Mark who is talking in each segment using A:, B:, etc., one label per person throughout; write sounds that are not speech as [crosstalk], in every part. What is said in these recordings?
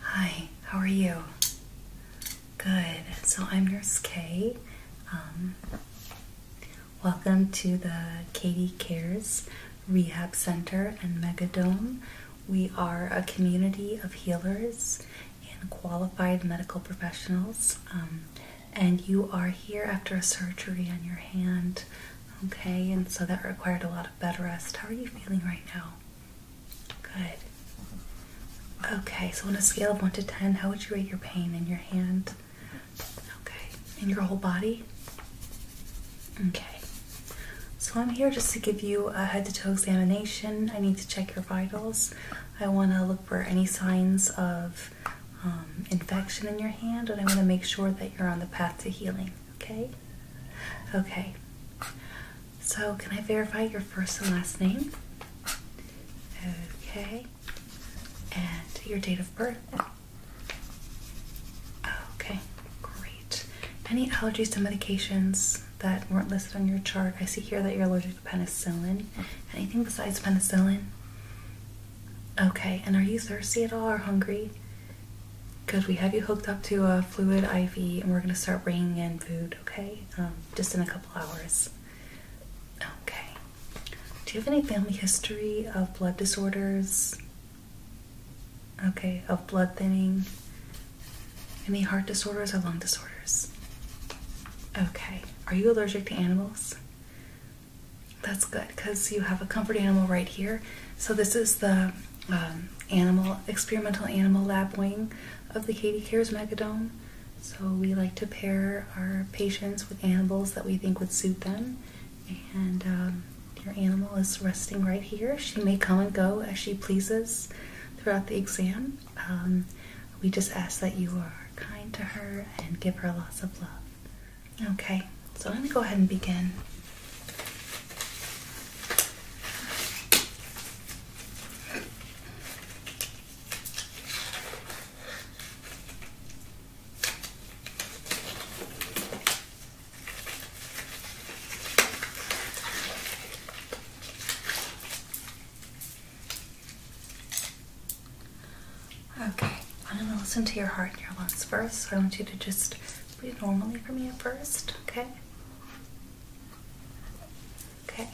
A: Hi, how are you? Good. So I'm Nurse Kay. Um, welcome to the Katie Cares Rehab Center and Megadome. We are a community of healers and qualified medical professionals. Um, and you are here after a surgery on your hand, okay? And so that required a lot of bed rest. How are you feeling right now? Good. Okay, so on a scale of 1 to 10, how would you rate your pain in your hand? Okay, In your whole body? Okay. So I'm here just to give you a head to toe examination. I need to check your vitals. I want to look for any signs of um, infection in your hand, and I want to make sure that you're on the path to healing, okay? Okay. So, can I verify your first and last name? Okay. And your date of birth? Okay, great. Any allergies to medications that weren't listed on your chart? I see here that you're allergic to penicillin. Anything besides penicillin? Okay, and are you thirsty at all or hungry? Because we have you hooked up to a fluid IV and we're going to start bringing in food, okay? Um, just in a couple hours. Okay. Do you have any family history of blood disorders? Okay, of blood thinning? Any heart disorders or lung disorders? Okay. Are you allergic to animals? That's good because you have a comfort animal right here. So, this is the um, animal experimental animal lab wing of the Katie Cares Megadome. So we like to pair our patients with animals that we think would suit them. And um, your animal is resting right here. She may come and go as she pleases throughout the exam. Um, we just ask that you are kind to her and give her lots of love. Okay, so I'm going to go ahead and begin. Okay, I'm gonna listen to your heart your lungs first. So I want you to just breathe normally for me at first, okay? Okay.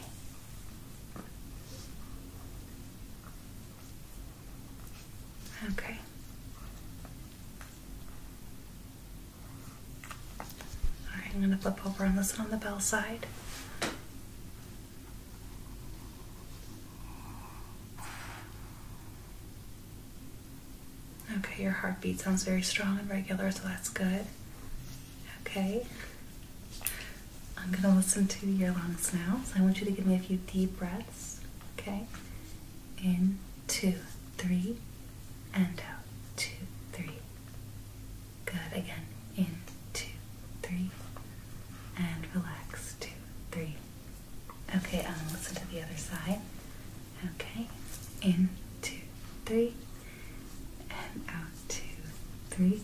A: Okay. right, I'm going to flip over and listen on the bell side. Okay, your heartbeat sounds very strong and regular, so that's good. Okay. I'm going to listen to your lungs now. So I want you to give me a few deep breaths. Okay. In, two, three, and out. Two, three. Good. Again. In, two, three, and relax. Two, three. Okay, I'm going to listen to the other side. Okay, in two, three, and out two, three.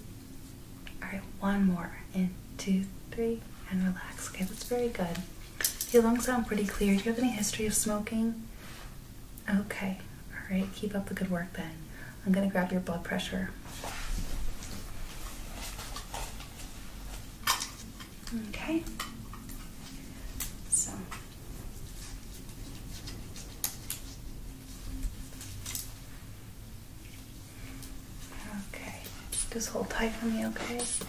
A: All right, one more. In two, three, and relax. Okay, that's very good. Your lungs sound pretty clear. Do you have any history of smoking? Okay, all right, keep up the good work then. I'm gonna grab your blood pressure. Okay. So Okay, just hold tight for me, okay? Okay.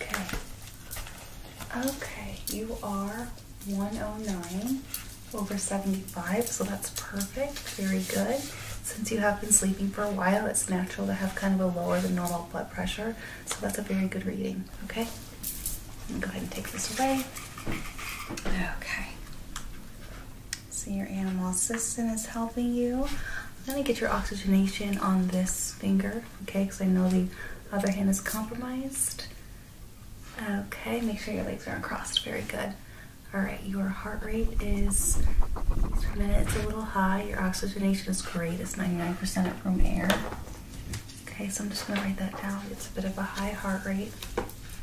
A: Okay. Okay, you are 109 over 75, so that's perfect. Very good. Since you have been sleeping for a while, it's natural to have kind of a lower than normal blood pressure. So that's a very good reading. Okay? Go ahead and take this away. Okay. So your animal assistant is helping you. I'm gonna get your oxygenation on this finger, okay? Because I know the other hand is compromised. Okay, make sure your legs aren't crossed. Very good. All right, your heart rate is per minute. It's a little high. Your oxygenation is great. It's 99% at room air. Okay, so I'm just gonna write that down. It's a bit of a high heart rate.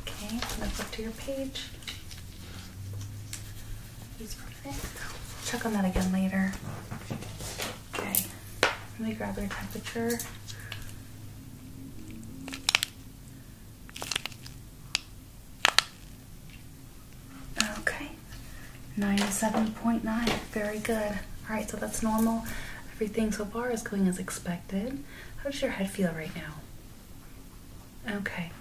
A: Okay, let's look to your page. Check on that again later. Okay, let me grab your temperature. Okay, 97.9, very good. All right, so that's normal. Everything so far is going as expected. How does your head feel right now? Okay.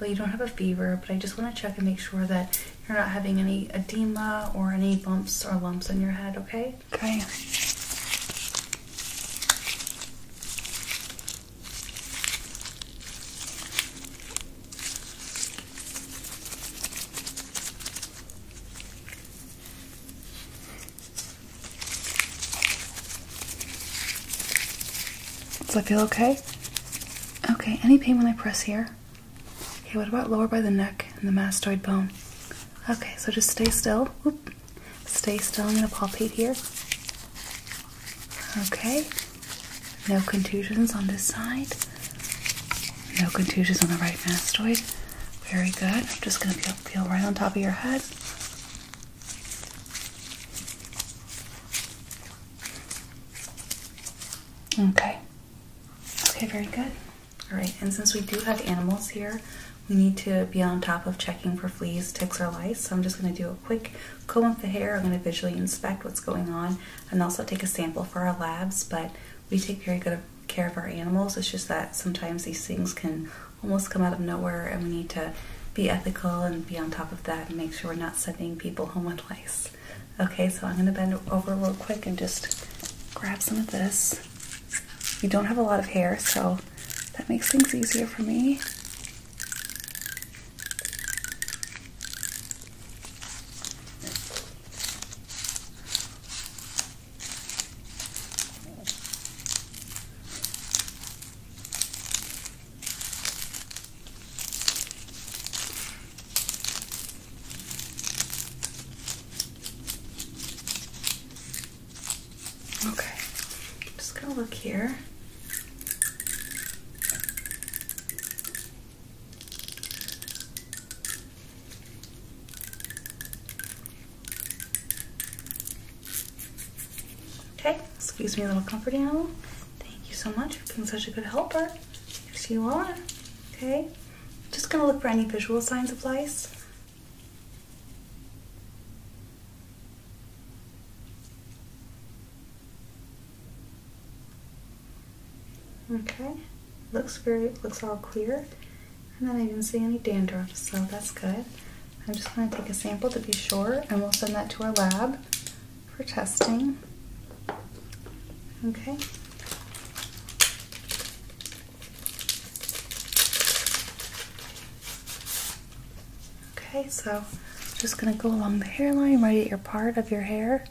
A: well, you don't have a fever, but I just want to check and make sure that you're not having any edema or any bumps or lumps on your head, okay? Okay. Does that feel okay? Okay, any pain when I press here? Okay, what about lower by the neck and the mastoid bone? Okay, so just stay still. Stay still. I'm going to palpate here. Okay. No contusions on this side. No contusions on the right mastoid. Very good. I'm just going to feel right on top of your head. Okay. Okay, very good. All right, and since we do have animals here, we need to be on top of checking for fleas, ticks, or lice. So I'm just going to do a quick comb of the hair. I'm going to visually inspect what's going on and also take a sample for our labs. But we take very good care of our animals. It's just that sometimes these things can almost come out of nowhere, and we need to be ethical and be on top of that and make sure we're not sending people home with lice. Okay, so I'm going to bend over real quick and just grab some of this. You don't have a lot of hair, so that makes things easier for me. Okay, just gonna look here. Okay, excuse me a little comfort animal. Thank you so much for being such a good helper. Yes, you are. Okay, just gonna look for any visual signs of lice. Okay, looks very looks all clear, and then I didn't see any dandruff, so that's good. I'm just going to take a sample to be sure and we'll send that to our lab for testing. Okay. Okay, so just going to go along the hairline right at your part of your hair.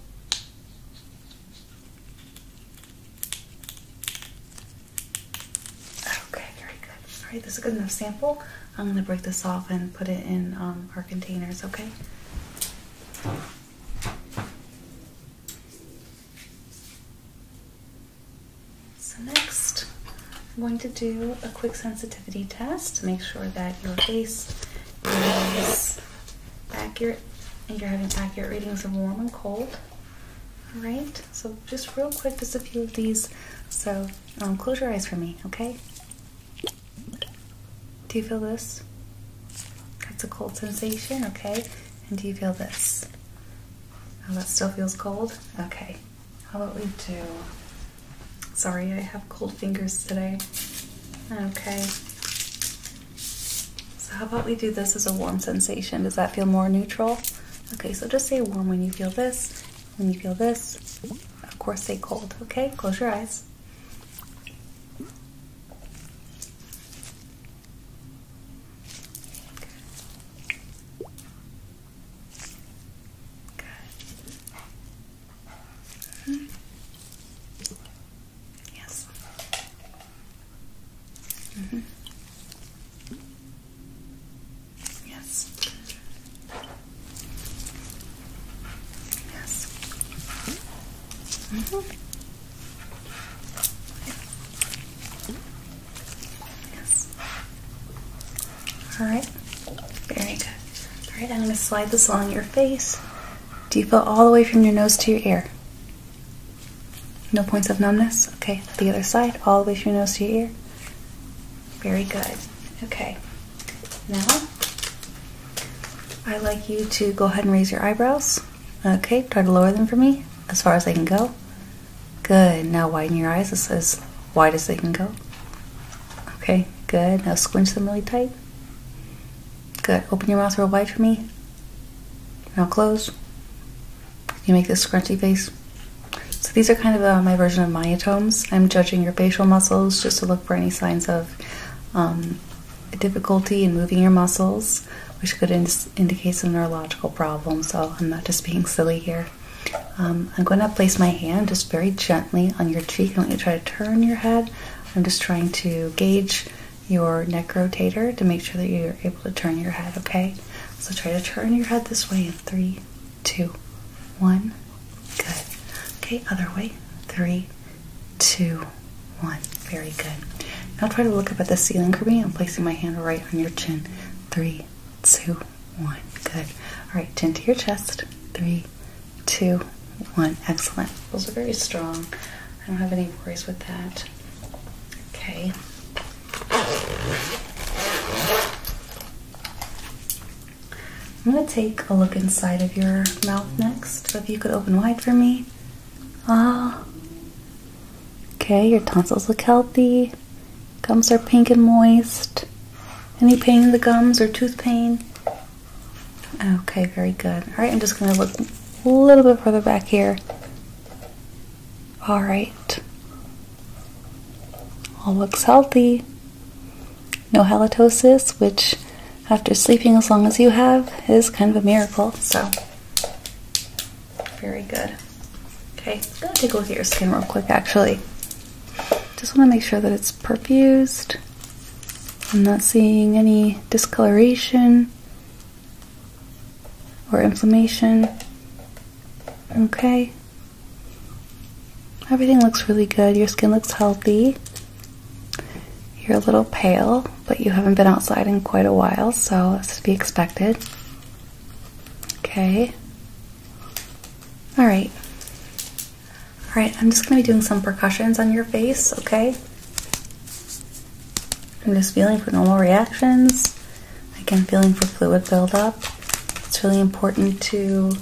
A: Okay, very good. All right, this is a good enough sample. I'm gonna break this off and put it in um, our containers. Okay. So next, I'm going to do a quick sensitivity test to make sure that your face is accurate and you're having accurate readings of warm and cold. All right. So just real quick, just a few of these. So um, close your eyes for me, okay? Do you feel this? That's a cold sensation, okay? And do you feel this? Oh, that still feels cold? Okay. How about we do? Sorry, I have cold fingers today. Okay. So how about we do this as a warm sensation? Does that feel more neutral? Okay, so just say warm when you feel this when you feel this, of course, say cold, okay? Close your eyes. Mm-hmm. Yes. -hmm. Yes. Yes. Mm -hmm. Yes. All right. Very good. All right, I'm going to slide this along your face. Do you feel all the way from your nose to your ear? No points of numbness? Okay, the other side, all the way from your nose to your ear. Very good. Okay. Now, i like you to go ahead and raise your eyebrows. Okay, try to lower them for me as far as they can go. Good. Now widen your eyes as, wide as they can go. Okay, good. Now squinch them really tight. Good. Open your mouth real wide for me. Now close. you make this scrunchy face? So these are kind of uh, my version of myotomes. I'm judging your facial muscles just to look for any signs of um, difficulty in moving your muscles, which could indicate some neurological problem. So I'm not just being silly here. Um, I'm going to place my hand just very gently on your cheek. I want you to try to turn your head. I'm just trying to gauge your neck rotator to make sure that you're able to turn your head, okay? So try to turn your head this way in three, two, one. Good. Okay, other way. Three, two, one. Very good. Now try to look up at the ceiling for me. I'm placing my hand right on your chin. Three, two, one. Good. All right, chin to your chest. Three, two, one. Excellent. Those are very strong. I don't have any worries with that. Okay. I'm going to take a look inside of your mouth next. So if you could open wide for me. Ah. Okay, your tonsils look healthy. Gums are pink and moist. Any pain in the gums or tooth pain? Okay, very good. All right, I'm just going to look a little bit further back here. All right. All looks healthy. No halitosis, which after sleeping as long as you have is kind of a miracle. So, very good. Okay, I'm gonna take a look at your skin real quick actually. Just wanna make sure that it's perfused. I'm not seeing any discoloration or inflammation. Okay, Everything looks really good. Your skin looks healthy. You're a little pale, but you haven't been outside in quite a while, so it's to be expected. Okay. All right. All right, I'm just going to be doing some percussions on your face, okay? I'm just feeling for normal reactions. Again, feeling for fluid buildup. It's really important to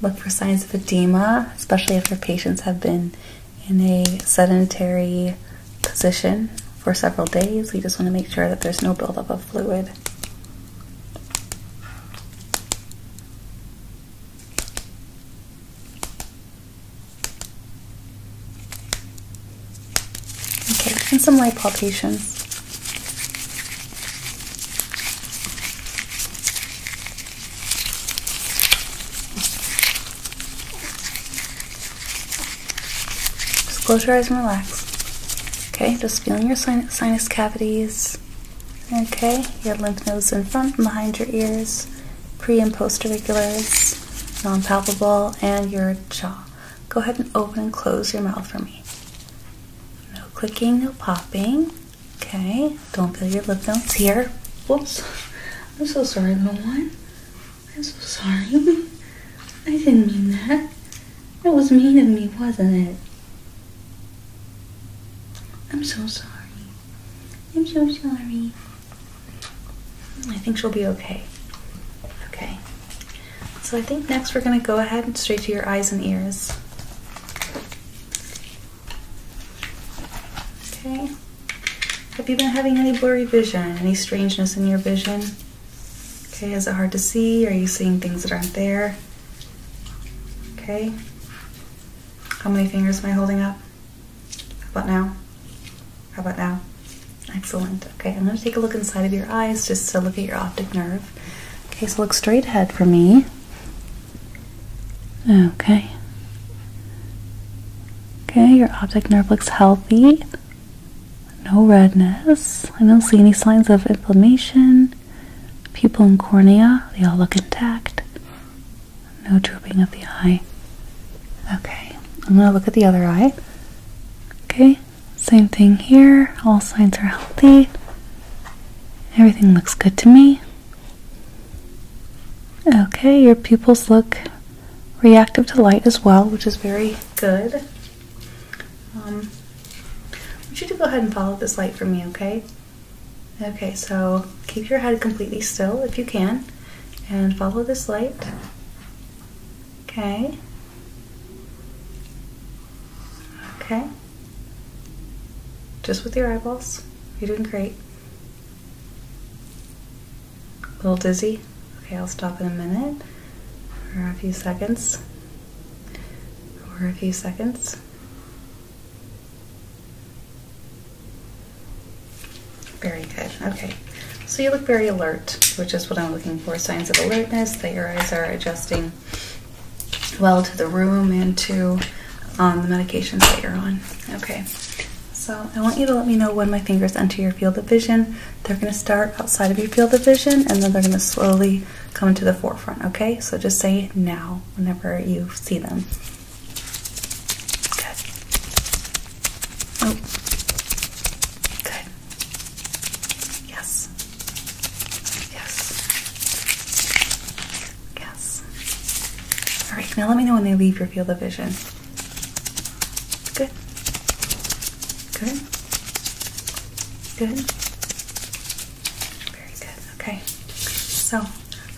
A: look for signs of edema, especially if your patients have been in a sedentary position for several days. We just want to make sure that there's no buildup of fluid. Okay, and some light palpations. Just close your eyes and relax. Okay, just feeling your sinus cavities. Okay, your lymph nodes in front and behind your ears, pre and post auriculars, non palpable, and your jaw go ahead and open and close your mouth for me. No clicking, no popping. Okay, don't feel your lip notes here. Whoops. I'm so sorry, little one. I'm so sorry. [laughs] I didn't mean that. It was mean of me, wasn't it? I'm so sorry. I'm so sorry. I think she'll be okay. Okay. So I think next we're going to go ahead and straight to your eyes and ears. Okay. Have you been having any blurry vision? Any strangeness in your vision? Okay, is it hard to see? Are you seeing things that aren't there? Okay. How many fingers am I holding up? How about now? How about now? Excellent. Okay, I'm going to take a look inside of your eyes just to look at your optic nerve. Okay, so look straight ahead for me. Okay. Okay, your optic nerve looks healthy. No redness. I don't see any signs of inflammation. Pupil and cornea, they all look intact. No drooping of the eye. Okay, I'm going to look at the other eye. Okay, same thing here. All signs are healthy. Everything looks good to me. Okay, your pupils look reactive to light as well, which is very good. Um, I want you to go ahead and follow this light for me, okay? Okay, so keep your head completely still if you can, and follow this light. Okay. Okay. Just with your eyeballs. You're doing great. A little dizzy? Okay, I'll stop in a minute or a few seconds or a few seconds. Very good. Okay, so you look very alert, which is what I'm looking for signs of alertness, that your eyes are adjusting well to the room and to um, the medications that you're on. Okay, so I want you to let me know when my fingers enter your field of vision. They're going to start outside of your field of vision and then they're going to slowly come to the forefront. Okay, so just say now whenever you see them. Good. Oh. Good. Yes. Yes. Yes. All right, now let me know when they leave your field of vision. Good. Good. Good. Very good. Okay. So,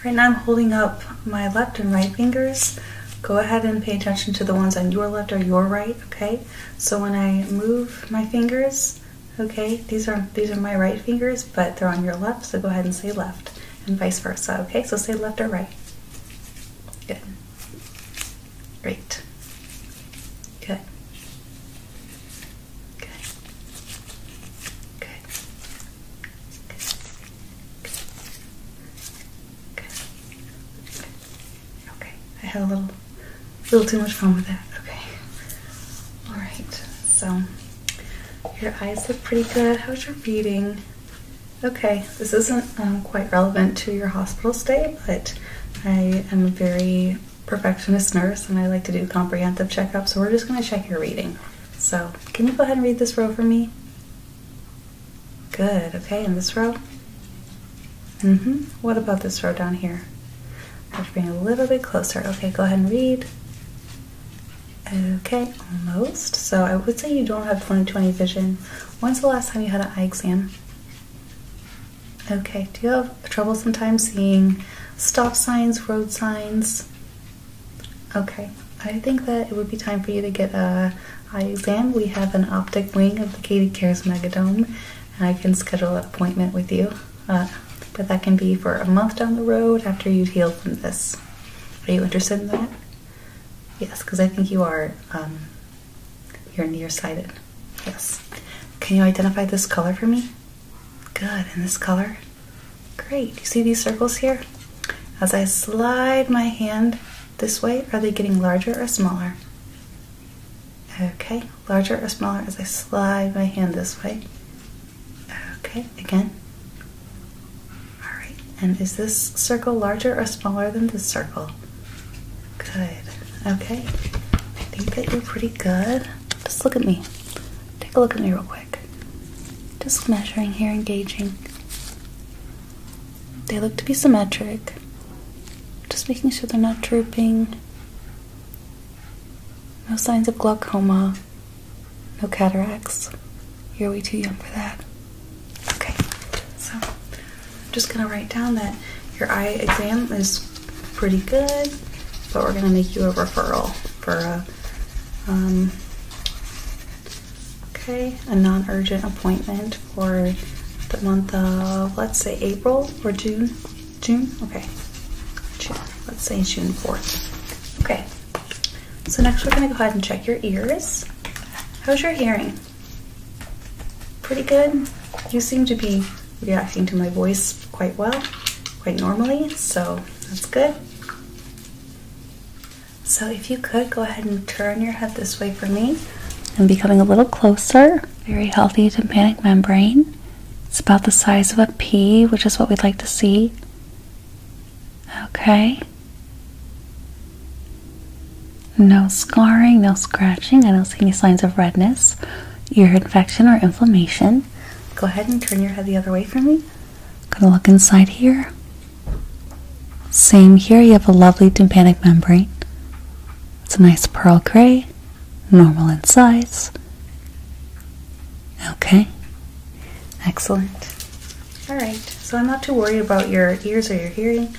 A: right now I'm holding up my left and right fingers. Go ahead and pay attention to the ones on your left or your right, okay? So when I move my fingers, okay, these are these are my right fingers, but they're on your left, so go ahead and say left, and vice versa, okay? So say left or right. Good. Great. Good. Good. Good. Good. Okay, I had a little, little too much fun with that. Okay, all right. So your eyes look pretty good. How's your reading? Okay, this isn't um, quite relevant to your hospital stay, but I am a very perfectionist nurse and I like to do comprehensive checkups, so we're just going to check your reading. So, can you go ahead and read this row for me? Good, okay, in this row? Mm-hmm. What about this row down here? I have to bring a little bit closer. Okay, go ahead and read. Okay, almost. So I would say you don't have 20/20 vision. When's the last time you had an eye exam? Okay, do you have trouble time seeing stop signs, road signs? Okay, I think that it would be time for you to get a eye exam. We have an optic wing of the Katie Cares Megadome I can schedule an appointment with you. Uh, but that can be for a month down the road after you heal from this. Are you interested in that? Yes, because I think you are, um, you're nearsighted. Yes. Can you identify this color for me? Good. In this color? Great. You see these circles here? As I slide my hand this way, are they getting larger or smaller? Okay, larger or smaller as I slide my hand this way. Okay, again. Alright, and is this circle larger or smaller than this circle? Good. Okay, I think that you're pretty good. Just look at me. Take a look at me real quick. Just measuring here, engaging. They look to be symmetric. Just making sure they're not drooping. No signs of glaucoma. No cataracts. You're way too young for that. Okay, so I'm just gonna write down that your eye exam is pretty good, but we're gonna make you a referral for a um, okay, a non-urgent appointment for the month of, let's say, April or June. June? Okay. Let's say June 4th. Okay. So next we're going to go ahead and check your ears. How's your hearing? Pretty good. You seem to be reacting to my voice quite well, quite normally, so that's good. So if you could go ahead and turn your head this way for me. and be coming a little closer very healthy tympanic membrane. It's about the size of a pea, which is what we'd like to see. Okay. No scarring, no scratching. I don't see any signs of redness, ear infection, or inflammation. Go ahead and turn your head the other way for me. I'm gonna look inside here. Same here, you have a lovely tympanic membrane. It's a nice pearl gray, normal in size. Okay, excellent. Alright, so I'm not too worried about your ears or your hearing,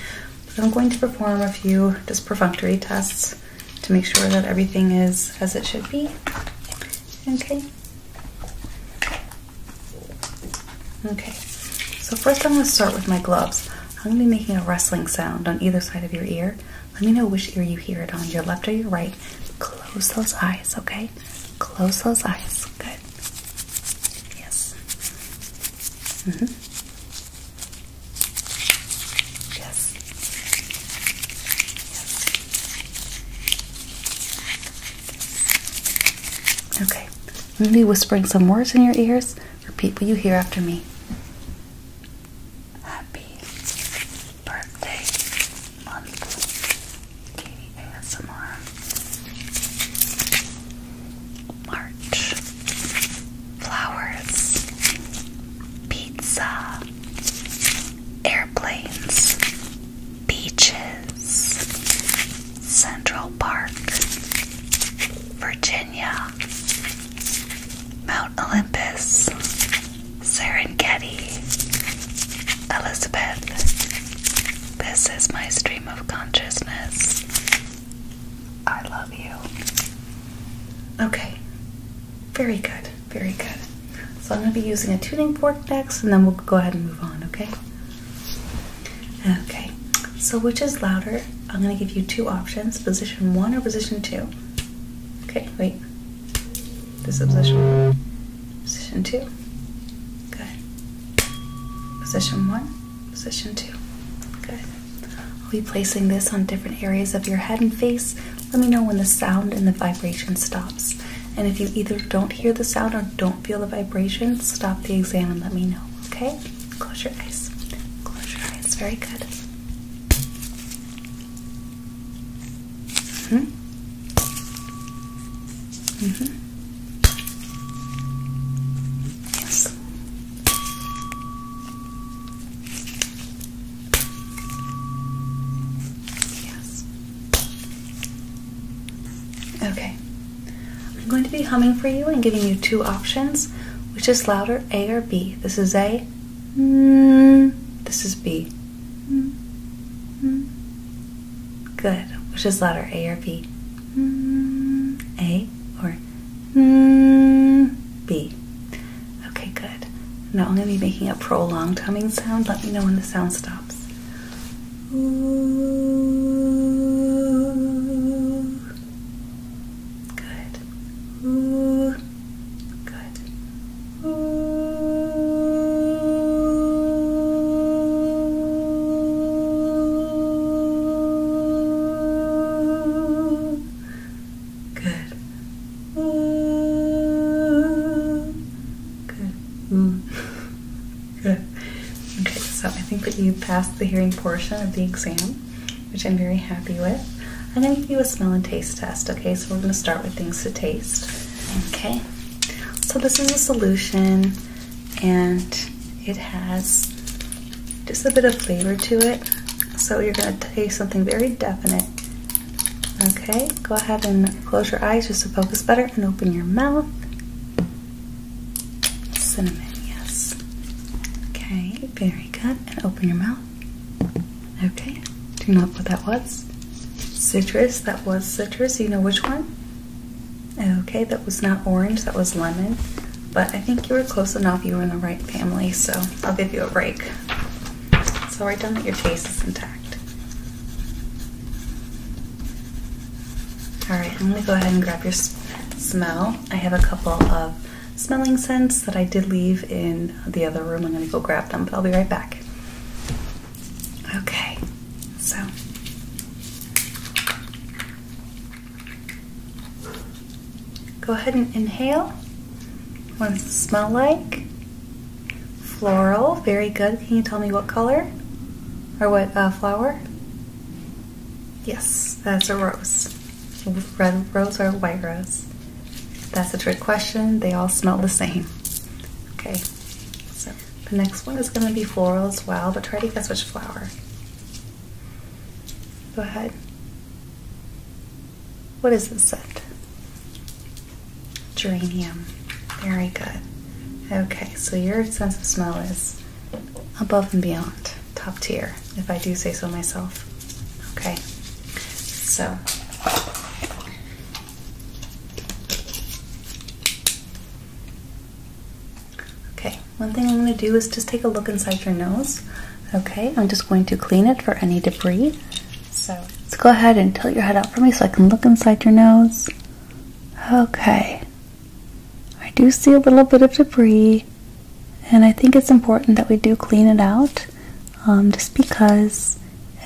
A: but I'm going to perform a few just perfunctory tests to make sure that everything is as it should be. Okay. Okay, so first I'm going to start with my gloves. I'm going to be making a rustling sound on either side of your ear. Let me know which ear you hear it on, your left or your right. Close those eyes, okay? Close those eyes. Good. Yes. -hmm. Yes. Yes. Okay. I'm going to be whispering some words in your ears. Repeat what you hear after me. Happy birthday month, Katie ASMR. March, flowers, pizza, airplanes, beaches, Central Park, Virginia, Mount Olympus, Serengeti, Elizabeth. This is my stream of consciousness. I love you. Okay, very good, very good. So I'm going to be using a tuning fork next, and then we'll go ahead and move on, okay? Okay, so which is louder? I'm going to give you two options position one or position two. Okay, wait. This is position one. Position two. Good. Position one. Position two. Good. I'll be placing this on different areas of your head and face. Let me know when the sound and the vibration stops. And if you either don't hear the sound or don't feel the vibration, stop the exam and let me know. Okay, close your eyes. Close your eyes. Very good. hmm. Mm hmm. Yes. Yes. Okay. I'm going to be humming for you and giving you two options, which is louder a or B? This is A. Mm, this is B. Good. Which is letter A or B? or B. Okay, good. Now only be making a prolonged humming sound. Let me know when the sound stops. Good. Good. Ooh. Good. Ooh. Good. Ooh. Good. Ooh. Good. Okay, so I think that you passed the hearing portion of the exam which I'm very happy with. I'm going to give you a smell and taste test, okay? So we're going to start with things to taste. Okay, so this is a solution and it has just a bit of flavor to it. So you're going to taste something very definite. Okay, go ahead and close your eyes just to focus better and open your mouth. Cinnamon, yes. Okay, very very good. And open your mouth. Okay. Do you know what that was? Citrus. That was citrus. You know which one? Okay. That was not orange. That was lemon. But I think you were close enough. You were in the right family. So I'll give you a break. So write down that your taste is intact. All right. I'm going to go ahead and grab your smell. I have a couple of smelling scents that I did leave in the other room. I'm going to go grab them, but I'll be right back. Okay, so. Go ahead and inhale. What does it smell like? Floral, very good. Can you tell me what color? Or what uh, flower? Yes, that's a rose. Red rose or white rose? That's a trick question. They all smell the same. Okay, so the next one is going to be floral as well, but try to guess which flower. Go ahead. What is this scent? Geranium. Very good. Okay, so your sense of smell is above and beyond top tier, if I do say so myself. Okay, so okay, one thing I'm going to do is just take a look inside your nose. Okay, I'm just going to clean it for any debris. So let's go ahead and tilt your head up for me so I can look inside your nose. Okay, I do see a little bit of debris. And I think it's important that we do clean it out um, just because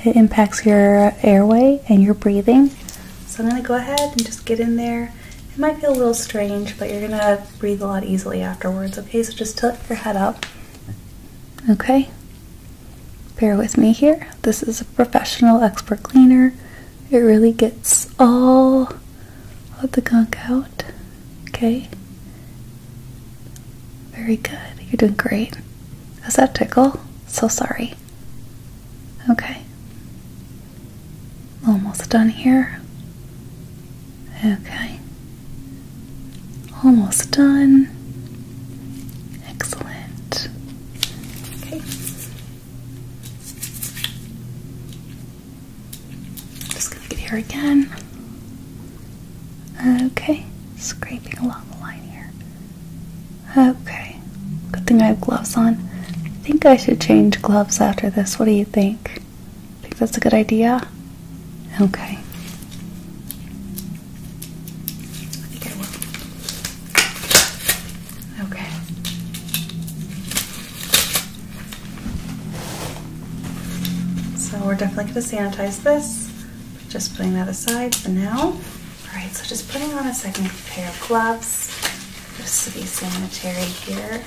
A: it impacts your airway and your breathing. So I'm going to go ahead and just get in there. It might feel a little strange, but you're going to breathe a lot easily afterwards, okay? So just tilt your head up. Okay? Bear with me here. This is a professional expert cleaner. It really gets all let the gunk out. Okay. Very good. You're doing great. Does that tickle? So sorry. Okay. Almost done here. Okay. Almost done. Excellent. Okay. Just gonna get here again. Okay, scraping along the line here. Okay, good thing I have gloves on. I think I should change gloves after this. What do you think? Think that's a good idea? Okay. I think I will. Okay. So we're definitely going to sanitize this. Just putting that aside for now. Alright, so just putting on a second pair of gloves just to be sanitary here.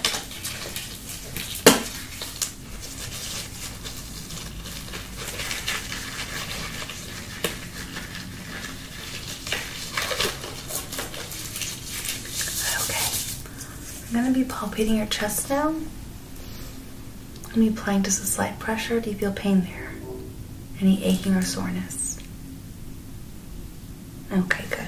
A: Okay, I'm going to be palpating your chest now. I'm applying just a slight pressure. Do you feel pain there? Any aching or soreness? Okay, good.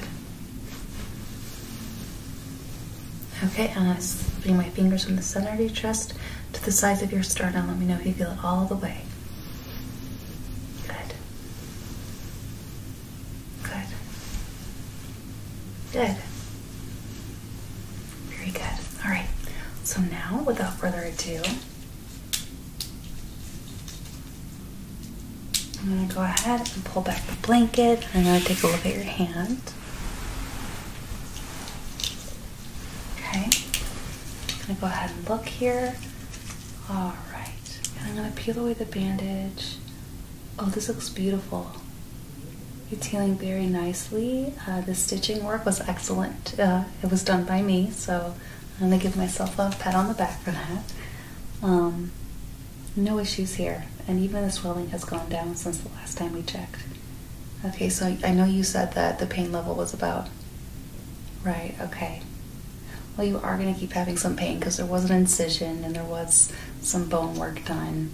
A: Okay, and I'm putting my fingers from the center of your chest to the sides of your sternum. Let me know if you feel it all the way. Good. Good. Good. Very good. All right. So now, without further ado, I'm going to go ahead and pull back the blanket. I'm going to take a look at your hand. Okay. I'm going to go ahead and look here. All right. I'm going to peel away the bandage. Oh, this looks beautiful. It's healing very nicely. Uh, the stitching work was excellent. Uh, it was done by me, so I'm gonna give myself a pat on the back for that. Um, no issues here, and even the swelling has gone down since the last time we checked. Okay, so I know you said that the pain level was about. Right, okay. Well, you are going to keep having some pain because there was an incision and there was some bone work done.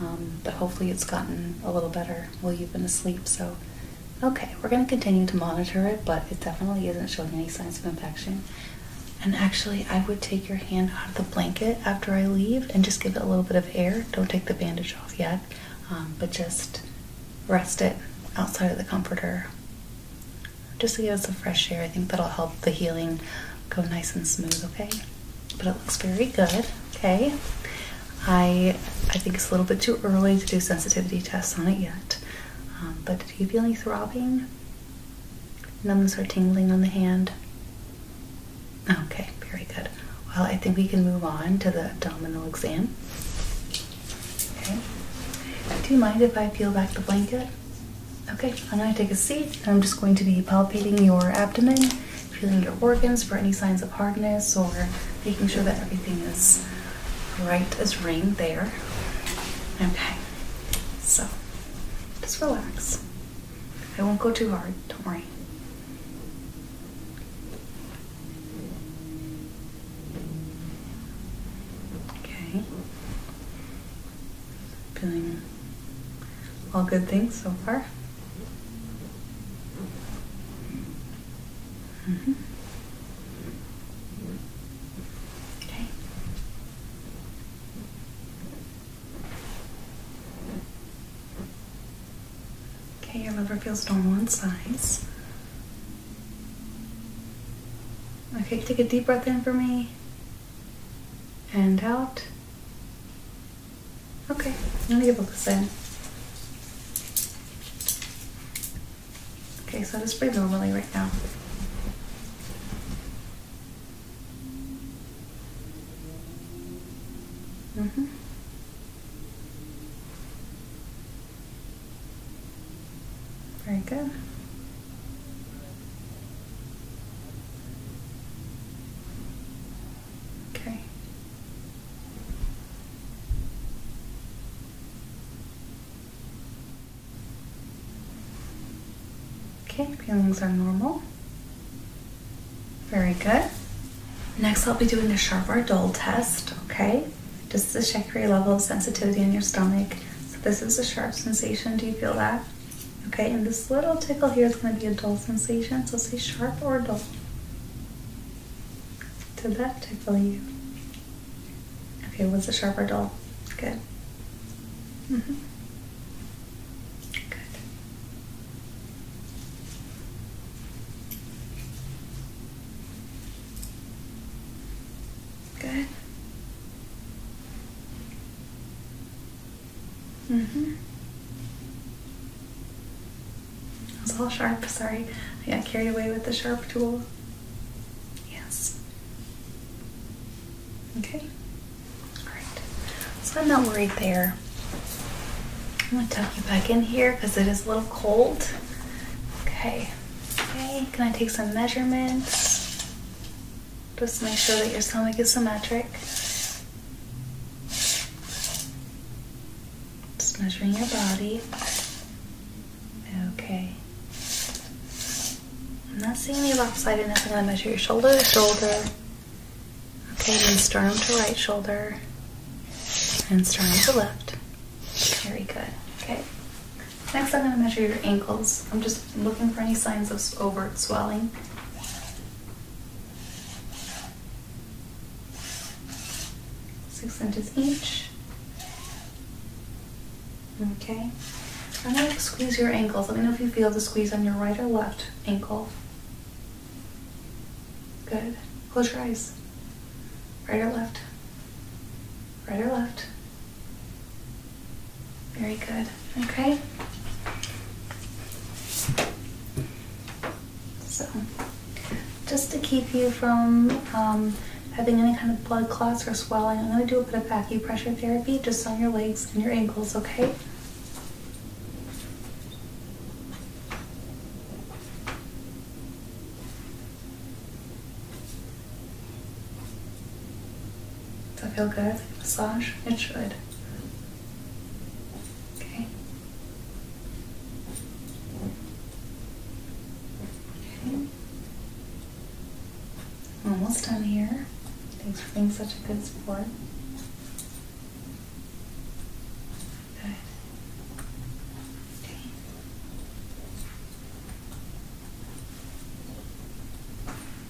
A: Um, but hopefully it's gotten a little better while you've been asleep. So, okay, we're going to continue to monitor it, but it definitely isn't showing any signs of infection. And actually, I would take your hand out of the blanket after I leave and just give it a little bit of air. Don't take the bandage off yet, um, but just rest it outside of the comforter just to give it some fresh air. I think that'll help the healing go nice and smooth, okay? but it looks very good. Okay, I I think it's a little bit too early to do sensitivity tests on it yet. Um, but do you feel any throbbing? Numbness or tingling on the hand? Okay, very good. Well, I think we can move on to the abdominal exam. Okay. Do you mind if I peel back the blanket? Okay, I'm going to take a seat I'm just going to be palpating your abdomen, feeling your organs for any signs of hardness or making sure that everything is right as rain there. Okay, so just relax. I won't go too hard, don't worry. Okay. Feeling all good things so far. Mm-hmm. Okay. Okay, your liver feels normal in size. Okay, take a deep breath in for me and out. Okay, let me get are booked in. Okay, so just breathe normally right now. Mm-hmm. Very good. Okay. Okay, feelings are normal. Very good. Next, I'll be doing the a Charvardol test, okay? Just to check your level of sensitivity in your stomach. So this is a sharp sensation. Do you feel that? Okay, and this little tickle here is going to be a dull sensation, so say sharp or dull. Did that tickle you? Okay, was it sharp or dull? Good. Mm-hmm. Good. Good. Mm-hmm. It was all sharp, sorry. I got carried away with the sharp tool. Yes. Okay. Alright. So I'm not worried there. I'm gonna tuck you back in here because it is a little cold. Okay. Okay, can I take some measurements? Just make sure that your stomach is symmetric. Just measuring your body. Okay. I'm not seeing any lopsidedness. I'm going to measure your shoulder to shoulder. Okay, then sternum to right shoulder. And sternum to left. Very good. Okay. Next, I'm going to measure your ankles. I'm just looking for any signs of overt swelling. Six inches each. Okay. I'm going to squeeze your ankles. Let me know if you feel the squeeze on your right or left ankle. Good. Close your eyes. Right or left? Right or left? Very good. Okay. So, just to keep you from um, having any kind of blood clots or swelling, I'm going to do a bit of pressure therapy just on your legs and your ankles, okay? Does that feel good? Massage? It should. Okay. Okay. I'm almost done here. Thanks for being such a good support. Good. Okay.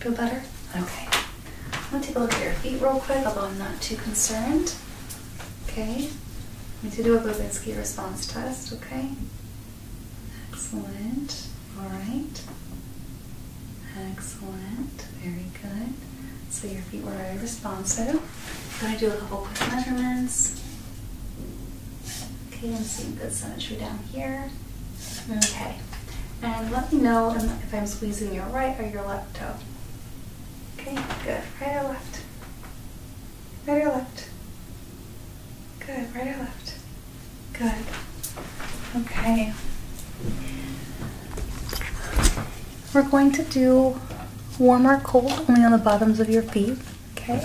A: Feel better? Okay. I'm gonna take a look at your feet real quick, although I'm not too concerned. Okay. We need to do a Babinski response test, okay? Excellent. All right. Excellent. Very good. So your feet were very responsive. I'm gonna do a couple quick measurements. Okay, I'm seeing good symmetry down here. Okay, and let me know if I'm squeezing your right or your left toe. Okay, good. Right or left? Right or left? Good. Right or left? Good. Okay. We're going to do warm or cold only on the bottoms of your feet. Okay.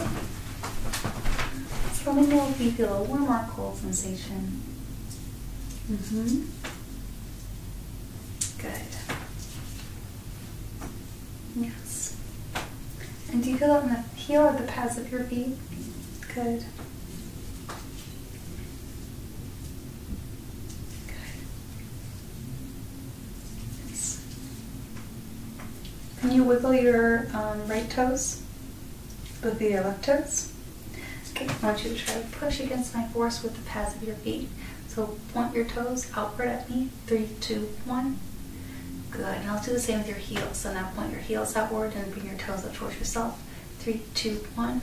A: From a milk, we feel a warm or cold sensation. Mm-hmm. Good. Yes. And do you feel that in the heel or the pads of your feet? Good. Good. Yes. Can you wiggle your um, right toes? with the left toes. Okay, I want you to try to push against my force with the pads of your feet. So point your toes outward at me. Three, two, one. Good, and I'll do the same with your heels. So now point your heels outward and bring your toes up towards yourself. Three, two, one.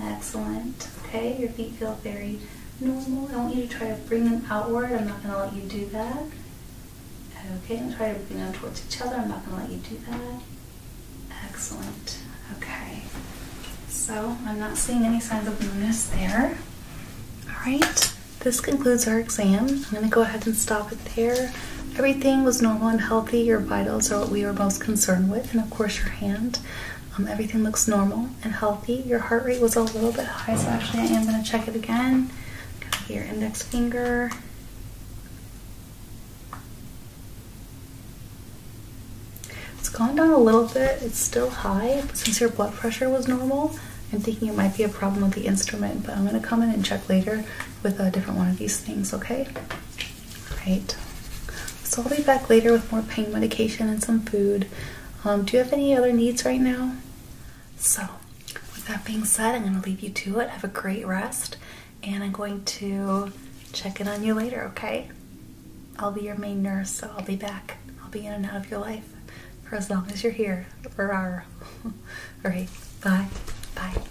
A: Excellent. Okay, your feet feel very normal. I want you to try to bring them outward. I'm not going to let you do that. Okay, and try to bring them towards each other. I'm not going to let you do that. Excellent. Okay. So I'm not seeing any signs of blueness there. All right. This concludes our exam. I'm going to go ahead and stop it there. Everything was normal and healthy. Your vitals are what we were most concerned with, and of course your hand. Um, everything looks normal and healthy. Your heart rate was a little bit high, so actually I am going to check it again. Got your index finger it's gone down a little bit. It's still high, but since your blood pressure was normal, I'm thinking it might be a problem with the instrument, but I'm going to come in and check later with a different one of these things, okay? Alright. So I'll be back later with more pain medication and some food. Um, do you have any other needs right now? So, with that being said, I'm going to leave you to it. Have a great rest, and I'm going to check in on you later, okay? I'll be your main nurse, so I'll be back. I'll be in and out of your life for as long as you're here. Rawr. [laughs] All right, bye. Bye.